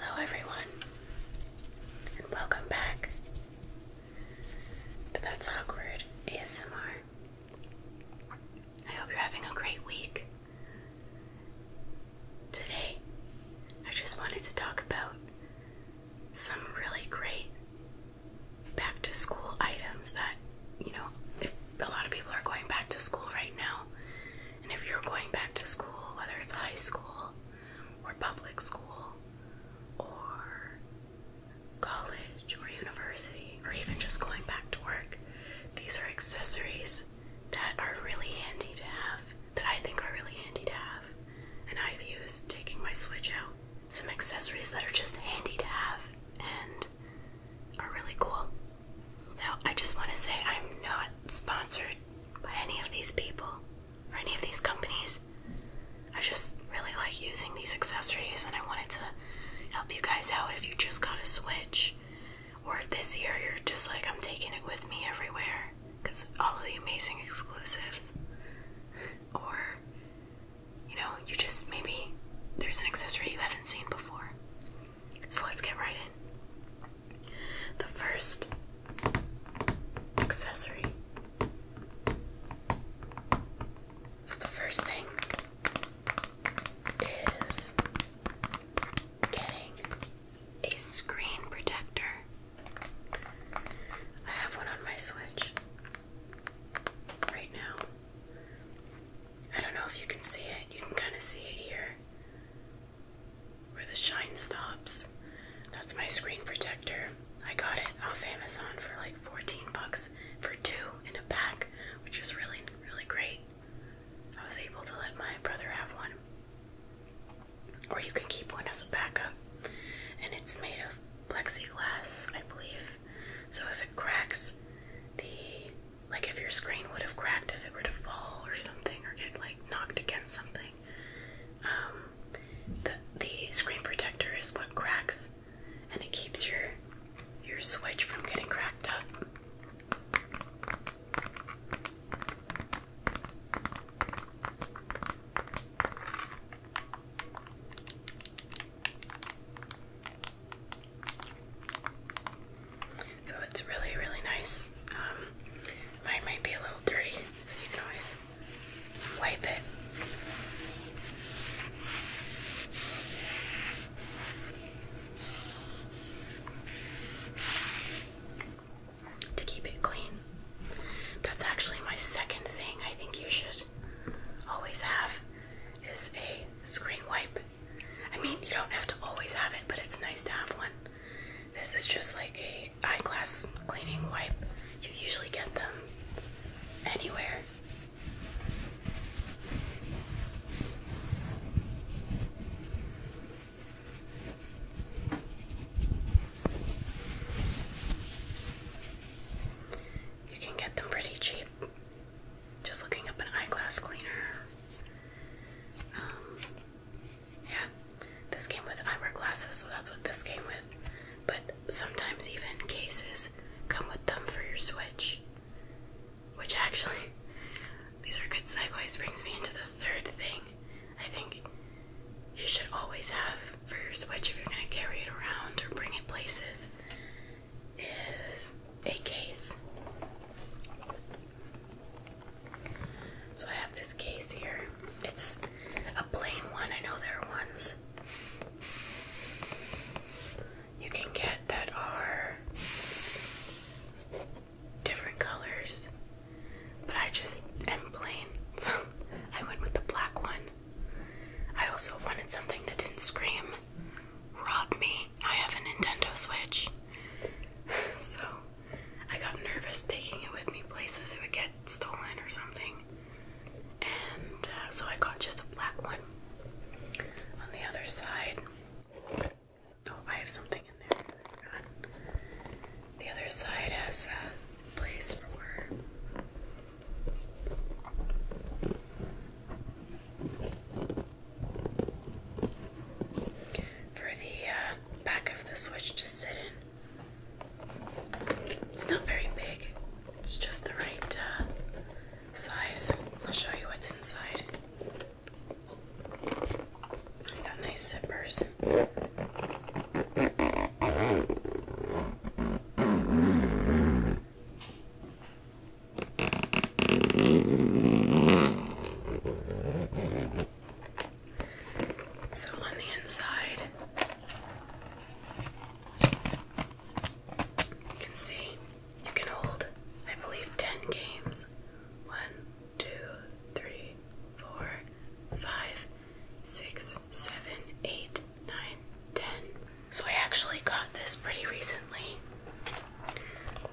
Hello, everyone, and welcome back That's Awkward ASMR. I hope you're having a great week. Today, I just wanted to talk about some really great back to school items that, you know, if a lot of people are going back to school right now. And if you're going back to school, whether it's high school or public school or college or university or even just going back to work, these are accessories that are really handy to have, that I think are really handy to have. And I've used taking my Switch out some accessories that are just handy to have and are really cool. Now, I just want to say I'm not sponsored by any of these people or any of these companies. I just really like using these accessories and I wanted to help you guys out if you just got a Switch or if this year you're just like, I'm taking it with me everywhere because all of the amazing exclusives or you know, you just maybe there's an accessory you haven't seen before. So let's get right in. The first accessory. So the first thing is getting a screen protector. I have one on my Switch right now. I don't know if you can see it. You can kind of see it here where the shine stops. That's my screen protector. I got it off Amazon for like 14 bucks for two in a pack, which was really, really great. I was able to let my brother have one or you can keep one as a backup. And it's made of plexiglass, I believe. So if it cracks, the like if your screen would have cracked if it were to fall or something or get like knocked against something, um, the the screen protector is what cracks, and it keeps your your switch from getting cracked up. So it's really, really nice. Um, mine might be a little dirty, so you can always wipe it to keep it clean. That's actually my second thing I think you should always have is a screen wipe. I mean, you don't have to always have it, but it's nice to have one. This is just like a eyeglass cleaning wipe. You usually get them anywhere. You can get them pretty cheap. Just looking up an eyeglass cleaner. Um, yeah, this came with eyewear glasses, so that's what this came with. But sometimes even cases come with them for your Switch. Which actually, these are good segues, brings me into the third thing I think you should always have for your Switch if you're going to carry it around or bring it places is a case. So I have this case here. It's a plain one. I know there are ones you can get that are different colors but I just am plain, I went with the black one. I also wanted something that didn't scream. Rob me. I have a Nintendo Switch. so I got nervous taking it with me places it would get stolen or something. And uh, so I got just a black one. On the other side, oh, I have something in there. The other side has a place for where for the uh, back of the switch to sit in. It's not very big. It's just the right uh, size. I'll show you what's inside. I got nice zippers. So on the inside, you can see you can hold, I believe, 10 games. One, two, three, four, five, six, six, seven, eight, nine, ten. So I actually got this pretty recently.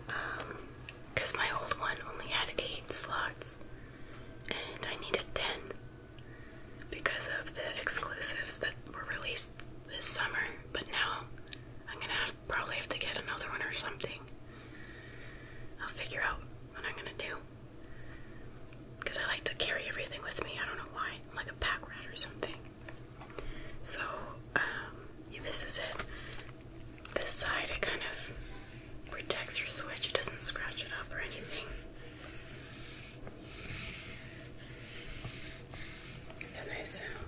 Um, because my old one only had eight slots, and I needed ten because of the exclusives that were released this summer. But now I'm gonna probably have to get another one or something. I'll figure out what I'm gonna do. Because I like to carry everything with me. I don't know why. like a pack rat or something. So, um, yeah, this is it. This side, it kind of protects your switch, it doesn't scratch it up or anything. It's a nice sound.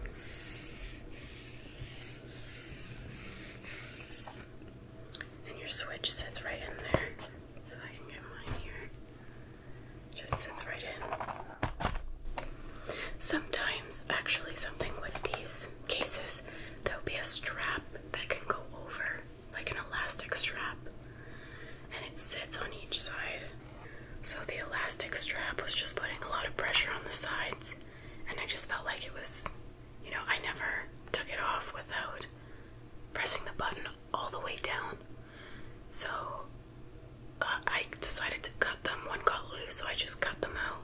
And your switch sits right in there. So I can get mine here. Just sits right in. Sometimes, actually, something with these cases, there'll be a strap that can go over, like an elastic strap, and it sits on each side. So the elastic strap was just putting a lot of pressure on the sides, and I just felt like it was you know, I never took it off without pressing the button all the way down. So uh, I decided to cut them. One got loose, so I just cut them out.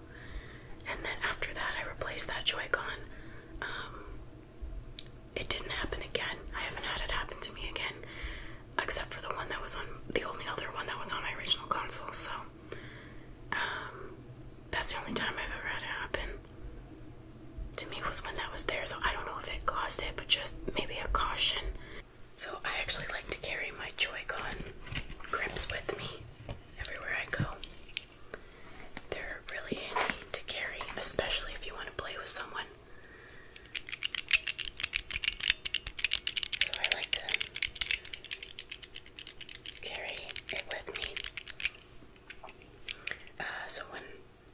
And then after that, I replaced that Joy-Con. Um, it didn't happen again. I haven't had it happen to me again, except for the one that was on the only other one that was on my original console. So um, that's the only time I've ever had it happen to me was when that was there. So I don't know if it caused it, but just maybe a caution. So I actually like to carry my joy gun grips with me everywhere I go. They're really handy to carry, especially if you want to play with someone. So I like to carry it with me. Uh, so when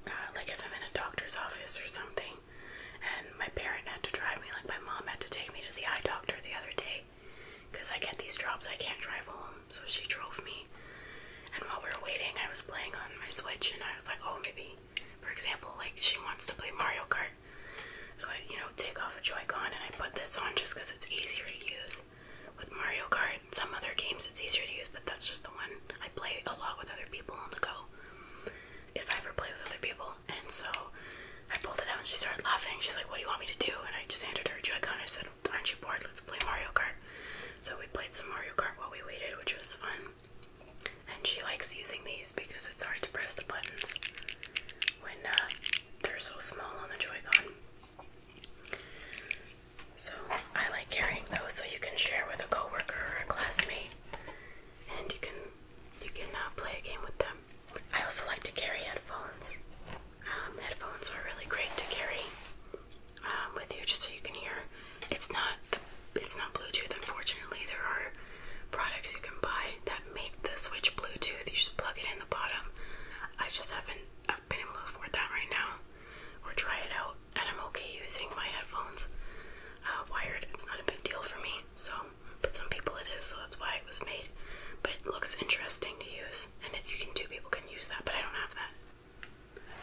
uh, like if I'm in a doctor's office or something, and my parent had to drive me, like my mom had to take me to the eye doctor the other day because I get these drops, I can't drive home, so she drove me. And while we were waiting, I was playing on my Switch, and I was like, oh, maybe, for example, like she wants to play Mario Kart. So I, you know, take off a Joy-Con and I put this on just because it's easier to use with Mario Kart some other games it's easier to use, but that's just the one I play a lot with other people on the go. If I ever play with other people, and so I pulled it out and she started laughing. She's like, "What do you want me to do?" And I just handed her a Joy-Con. And I said, "Aren't you bored? Let's play Mario Kart." So we played some Mario Kart while we waited, which was fun. And she likes using these because it's hard to press the buttons when uh, they're so small on the Joy-Con. So I like carrying those so you can share with a coworker or a classmate, and you can you can uh, play a game with them. I also like to carry headphones. Um, headphones are really great to carry um, with you, just so you can hear. It's not it's not Bluetooth, unfortunately. There are products you can buy that make the switch Bluetooth. You just plug it in the bottom. I just haven't i been able to afford that right now or try it out, and I'm okay using my headphones uh, wired. It's not a big deal for me, so but some people it is, so that's why it was made. But it looks interesting to use, and you can two people can use that, but I don't have that.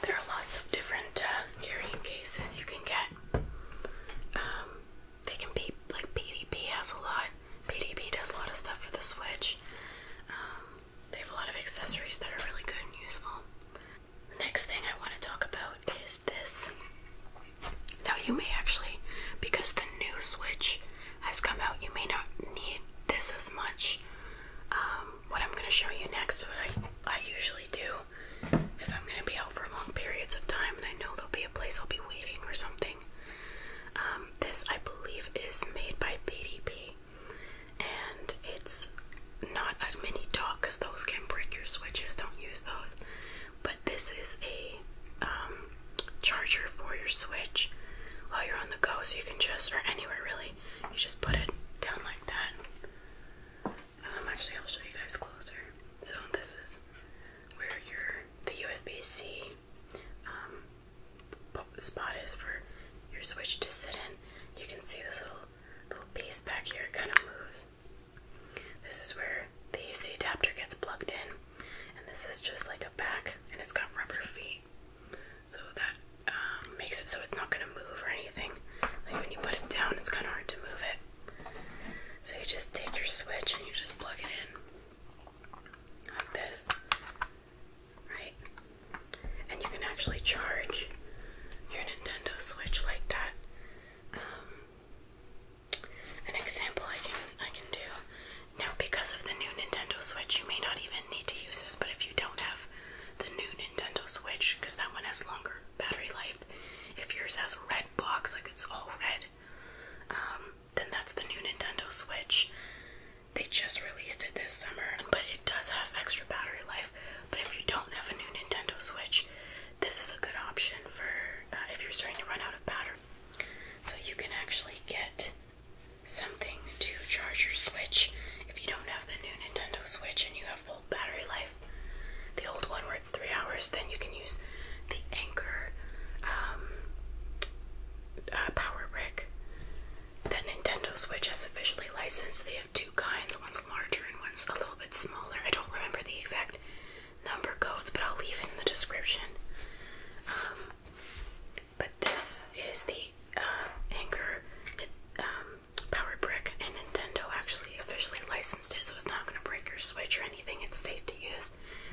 There are lots of different uh, carrying cases you can get. Um, they can be like PDP has a lot. PDP does a lot of stuff for the Switch. Um, they have a lot of accessories that are really good and useful. The next thing I want to talk about is this. Now, you may actually, because the new Switch has come out, you may not need this as much. Um, what I'm going to show you next, what I, I usually do if I'm going to be out for long periods of time and I know there'll be a place I'll be waiting or something. Um, this, I believe, is made by PDP and it's not a mini dock because those can break your switches. Don't use those. But this is a um, charger for your switch while you're on the go, so you can just or anywhere really. You just put it down like that. Um, actually, I'll show you guys closer. So this is where your the USB-C um, the spot is for your switch to sit in. You can see this little little piece back here it kind of moves. This is where the AC adapter gets plugged in, and this is just like a back, and it's got rubber feet, so that um, makes it so it's not going to move or anything. Like when you put it down, it's kind of hard to move it. So you just take your switch and you just plug it in like this, right? And you can actually charge your Nintendo Switch like that. Um, an example I can I can do now because of the new Nintendo Switch, you may not even need to use this, but if you don't have the new Nintendo Switch, because that one has longer battery life, if yours has a red box, like it's all red, um, then that's the new Nintendo Switch. They just released it this summer, but it does have extra battery life. But if you don't have a new Nintendo Switch, this is a good option for uh, if you're starting to run out of power. So you can actually get something to charge your Switch if you don't have the new Nintendo Switch and you have old battery life. The old one where it's three hours, then you can use the Anchor um, uh, Power Brick the Nintendo Switch has officially licensed. They have two kinds, one's larger and one's a little bit smaller. I don't remember the exact number codes, but I'll leave it in the description. Um, but this is the uh, Anchor um, Power Brick, and Nintendo actually officially licensed it, so it's not going to break your Switch or anything. It's safe to use.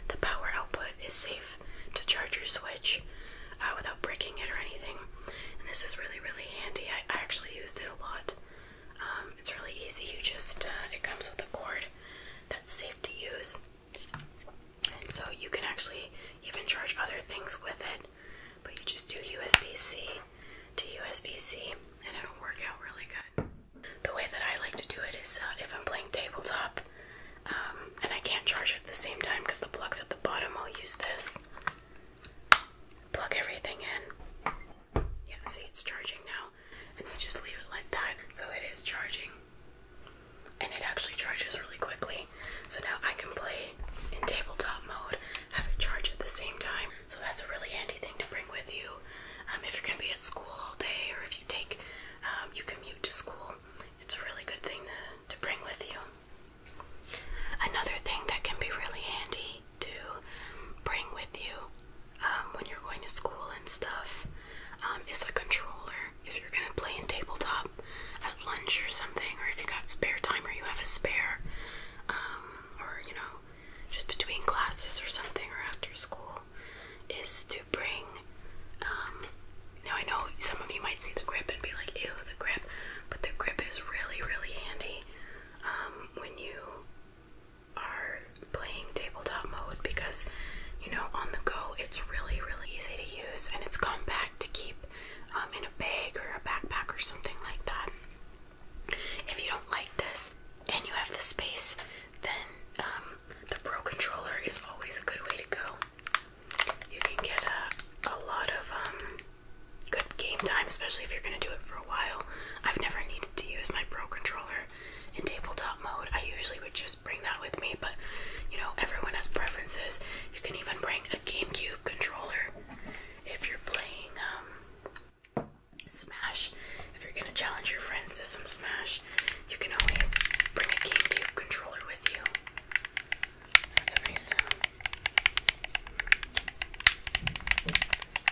The power output is safe to charge your Switch. Uh, without breaking it or anything. And this is really, really handy. I, actually used it a lot. Um, it's really easy. You just, uh, it comes with a cord that's safe to use. And so you can actually even charge other things with it. But you just do USB C to USB C, and it'll work out really good. The way that I like to do it is uh, if I'm playing tabletop um, and I can't charge it at the same time because the plug's at the bottom, I'll use this plug everything in. Yeah, see, it's charging now. And you just leave it like that. So it is charging. And it actually charges really quickly. So now I can play in tabletop mode, have it charge at the same time. So that's a really handy thing to bring with you. Um, if you're going to be at school all day or if you take, um, you commute to school, it's a really good thing to, to bring with you. Another thing that can be really handy to bring with you um, when you're going to school and stuff um, is a controller. If you're going to play in tabletop at lunch or something, or if you got spare time or you have a spare, um, or you know, just between classes or something or after school, is to bring now I know some of you might see the grip and be like, ew, the grip, but the grip is really, really handy um, when you are playing tabletop mode because, you know, on the go it's really, really easy to use and it's compact to keep um, in a bag or a backpack or something like that. If you don't like this and you have the space, then um, the Pro controller is always a good way to go you can get a, a lot of um, good game time, especially if you're going to do it for a while. I've never needed to use my Pro controller in tabletop mode. I usually would just bring that with me, but you know, everyone has preferences. You can even bring a GameCube controller if you're playing um, Smash. If you're going to challenge your friends to some Smash, you can always bring a GameCube controller with you. That's a nice sound.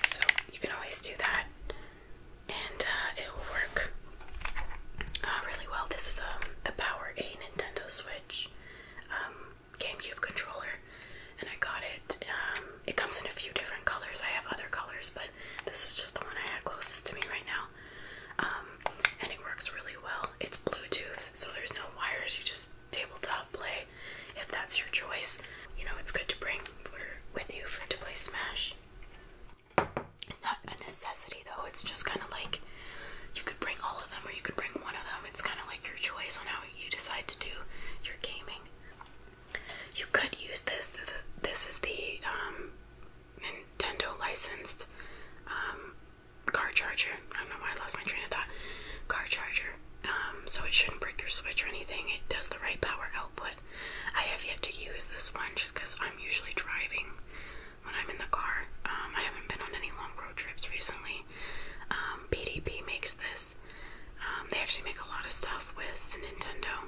So you can always do that, and uh, it'll work uh, really well. This is um, the Power A Nintendo Switch um, GameCube controller, and I got it. Um, it comes in a few different colors. I have other colors, but this is just the one I had closest to me right now. Um, and it works really well. It's Bluetooth, so there's no wires, you just tabletop play if that's your choice. You know, it's good to bring for, with you for to play Smash. It's not a necessity though, it's just kind of like you could bring all of them or you could bring one of them. It's kind of like your choice on how you decide to do your gaming. You could use this, this is the um, Nintendo licensed um, car charger. I don't know why I lost my train of thought. Car charger. Um, so it shouldn't break your switch or anything. It does the right power output. I have yet to use this one just because I'm usually driving when I'm in the car. Um, I haven't been on any long road trips recently. Um, PDP makes this. Um, they actually make a lot of stuff with Nintendo.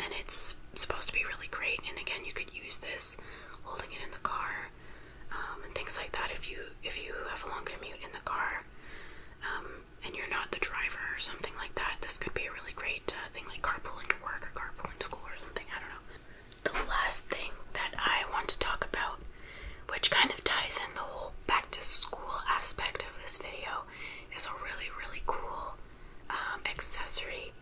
and it's supposed to be really great. And again, you could use this holding it in the car. Um, and things like that. If you if you have a long commute in the car um, and you're not the driver or something like that, this could be a really great uh, thing, like carpooling to work or carpooling to school or something. I don't know. The last thing that I want to talk about, which kind of ties in the whole back to school aspect of this video, is a really really cool um, accessory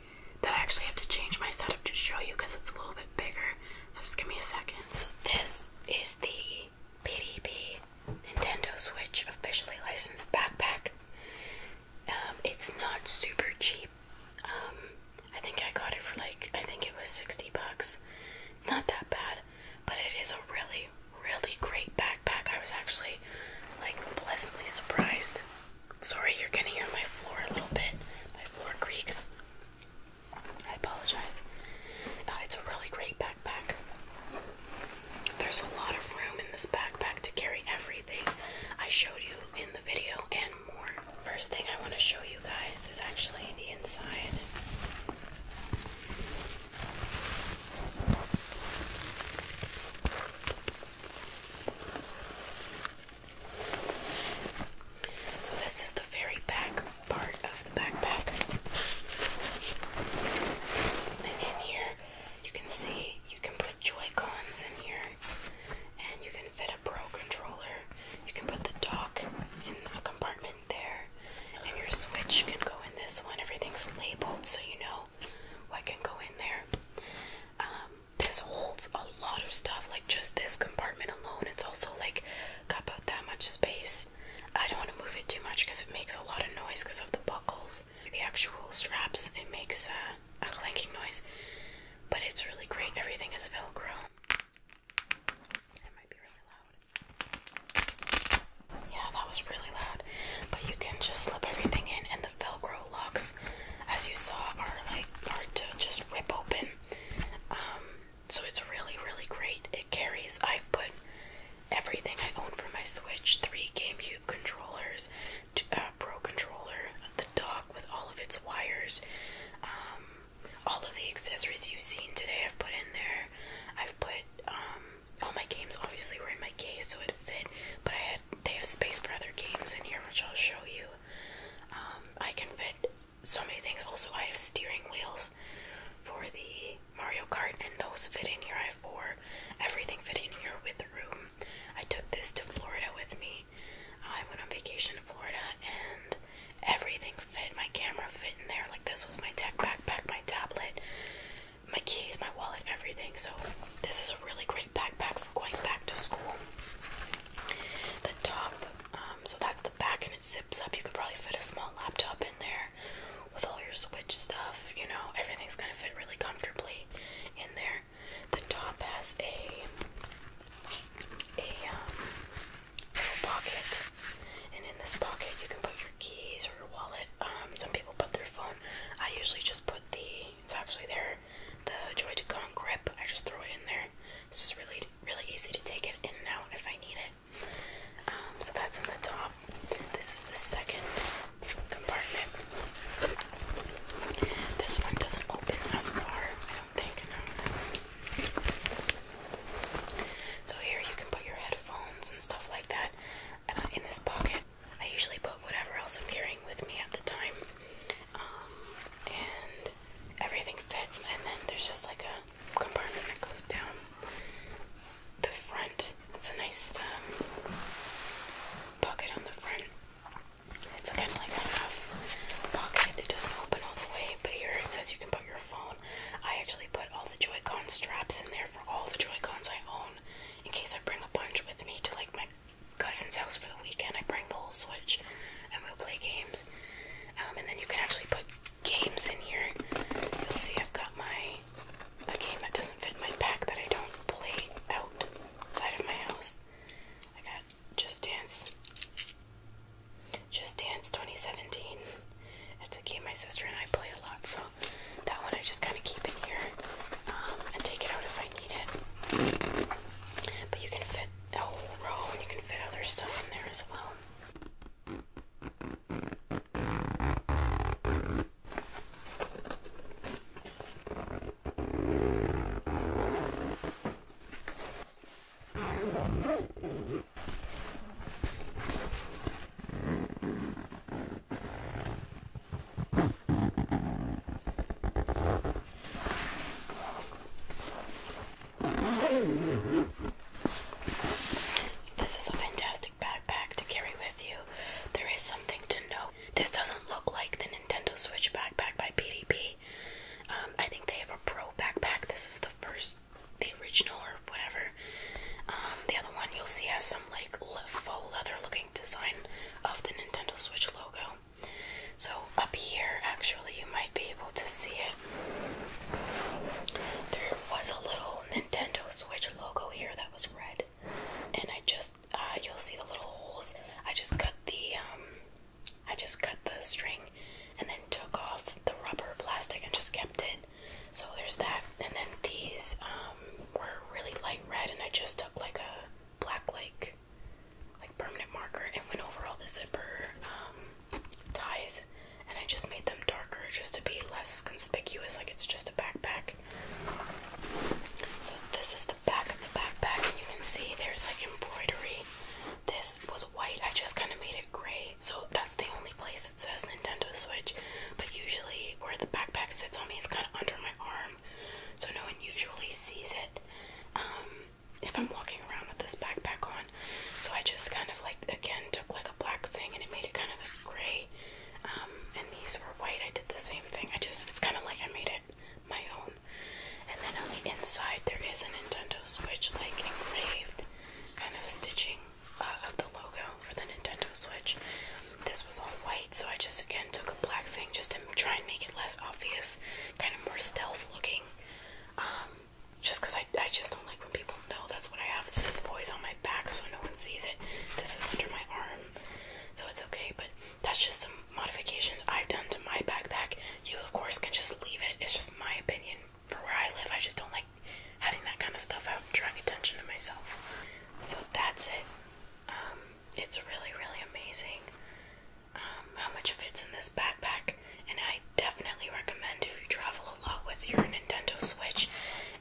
that I actually have to change my setup to show you because it's a little bit bigger. So just give me a second. So this is the PDP Nintendo Switch officially licensed backpack. Um, it's not super cheap. Um, I think I got it for like I think it was 60 bucks. It's not that bad, but it is a really, really great backpack. I was actually like pleasantly surprised. Sorry, you're gonna hear my floor a little bit. My floor creaks. I apologize. Uh, it's a really great backpack. There's a lot of room in this backpack to carry everything I showed you in the video and more. First thing I want to show you guys is actually the inside. So, this is the very back part of the backpack. And in here, you can see you can put Joy Cons in here, and you can fit a Pro controller. You can put the dock in a compartment there, and your Switch can go in this one. Everything's labeled so you know what can go in there. Um, this holds a lot of stuff, like just this compartment alone. It's also like got about that much space. I don't want to move it too much because it makes a lot of noise because of the buckles. The actual straps, it makes uh, a clanking noise, but it's really great. Everything is Velcro. It might be really loud. Yeah, that was really loud. But you can just slip everything in, and the Velcro locks, as you saw, are like hard to just rip open. Um, so it's really, really great. It carries. I've put everything I own for my Switch: three GameCube controllers, a uh, Pro controller, the dock with all of its wires, um, all of the accessories you've seen today. I've put in there. I've put um, all my games. Obviously, were in my case, so it fit. But I had they have space for other games in here, which I'll show you. Um, I can fit so many things. Also, I have steering wheels for the Mario Kart, and those fit in here. I have four. Everything fitting here with the room. I took this to Florida with me. I went on vacation to Florida, and everything fit. My camera fit in there. Like this was my tech backpack, my tablet, my keys, my wallet, everything. So this is a really great backpack for going back to school. The top, um, so that's the back and it zips up. You could probably fit a small laptop in there with all your Switch stuff. You know, everything's gonna fit really comfortably in there. The top has a a um, little pocket, and in this pocket you can put your keys or your wallet. Um, some people put their phone. I usually just put the. It's actually there. The Joy-Con grip. I just throw it in there. This is really, really easy to take it in and out if I need it. Um, so that's in the top. This is the second compartment. This one doesn't open as far, I don't think. No, it So here you can put your headphones and stuff like that uh, in this pocket. I usually put whatever else I'm carrying with me at the time. Um, and everything fits, and then there's just like a compartment that goes down the front. It's a nice um, pocket on the front. It's kind of like a half pocket. It doesn't open all the way, but here it says you can put your phone. I actually put all the Joy-Con straps in there for all the Joy-Cons I own in case I bring a bunch with me to like my cousin's house for the weekend. I bring the whole Switch and we'll play games. Um, and then you can actually put games in here. You'll see I've got my a game that doesn't fit my pack that I don't play out outside of my house. I got Just Dance. Just Dance 2017. It's a game my sister and I play a lot, so that one I just kind of keep in here um, and take it out if I need it. But you can fit a oh, whole row and you can fit other stuff in there as well this is a fantastic backpack to carry with you. There is something to note. This doesn't look like the Nintendo Switch backpack by PDP. Um, I think they have a Pro backpack. This is the first, the original or whatever. Um, the other one you'll see has some like faux leather-looking design of the Nintendo Switch logo. So, up here, actually, you might be able to see it. There was a little Nintendo Switch logo here that was red, and I just, uh, you'll see the little holes. I just cut the, um, I just cut the string and then took off the rubber plastic and just kept it. So, there's that. And then these, um, were really light red, and I just took like a black, like, like permanent marker and went over all the zipper um, ties and I just made them darker just to be less conspicuous like it's just a backpack. So this is the back of the backpack and you can see there's like embroidery. This was white. I just kind of made it gray. So that's the only place it says Nintendo Switch. But usually where the backpack sits on me, it's kind of under my arm so no one usually sees it. Um, if I'm walking around with this backpack on, so I just kind of like again took like a black thing and it made it kind of this gray. Um, and these were white. I did the same thing. I just it's kind of like I made it my own. And then on the inside there is a Nintendo Switch like engraved kind of stitching uh, of the logo for the Nintendo Switch. This was all white, so I just again took a black thing just to try and make it less obvious, kind of more stealth looking. Um, I, I just don't like when people know that's what I have. This is always on my back so no one sees it. This is under my arm, so it's okay. But that's just some modifications I've done to my backpack. You, of course, can just leave it. It's just my opinion for where I live. I just don't like having that kind of stuff out drawing attention to myself. So that's it. Um, it's really, really amazing. Um, how much fits in this backpack, and I definitely recommend if you travel a lot with your Nintendo Switch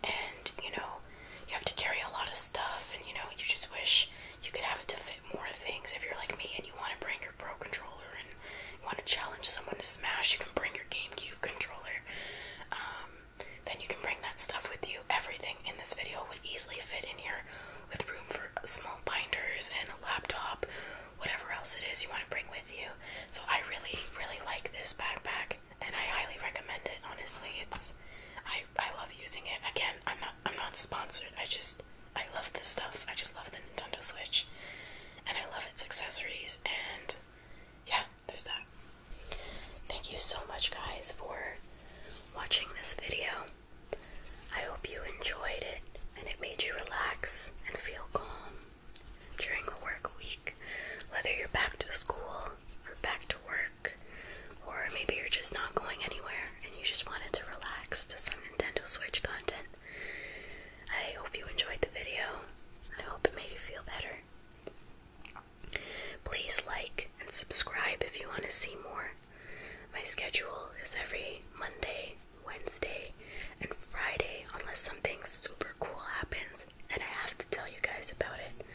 and you know, you have to carry a lot of stuff, and you know, you just wish you could have it to fit more things. If you're like me and you want to bring your Pro Controller and you want to challenge someone to Smash, you can bring your GameCube controller. Um, then you can bring that stuff with you. Everything in this video would easily fit in here with room for small binders and a laptop, whatever else it is you want to bring with you. So I really, really like this backpack, and I highly recommend it. Honestly, it's I I love using it. Again, I'm not I'm not sponsored. I just I love this stuff. I just love the Nintendo Switch, and I love its accessories. And yeah, there's that. Thank you so much, guys, for watching this video. I hope you enjoyed it and it made you relax and feel calm during the work week. Whether you're back to school or back to work, or maybe you're just not going anywhere and you just wanted to relax to some Nintendo Switch content. I hope you enjoyed the video. I hope it made you feel better. Please like and subscribe if you want to see more. My schedule is every Monday, Wednesday, and Friday, unless something super cool happens and I have to tell you guys about it.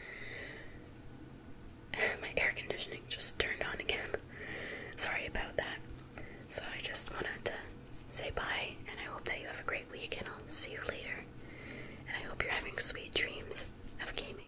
My air conditioning just turned on again. Sorry about that. So I just wanted to say bye, and I hope that you have a great week, and I'll see you later. And I hope you're having sweet dreams of gaming.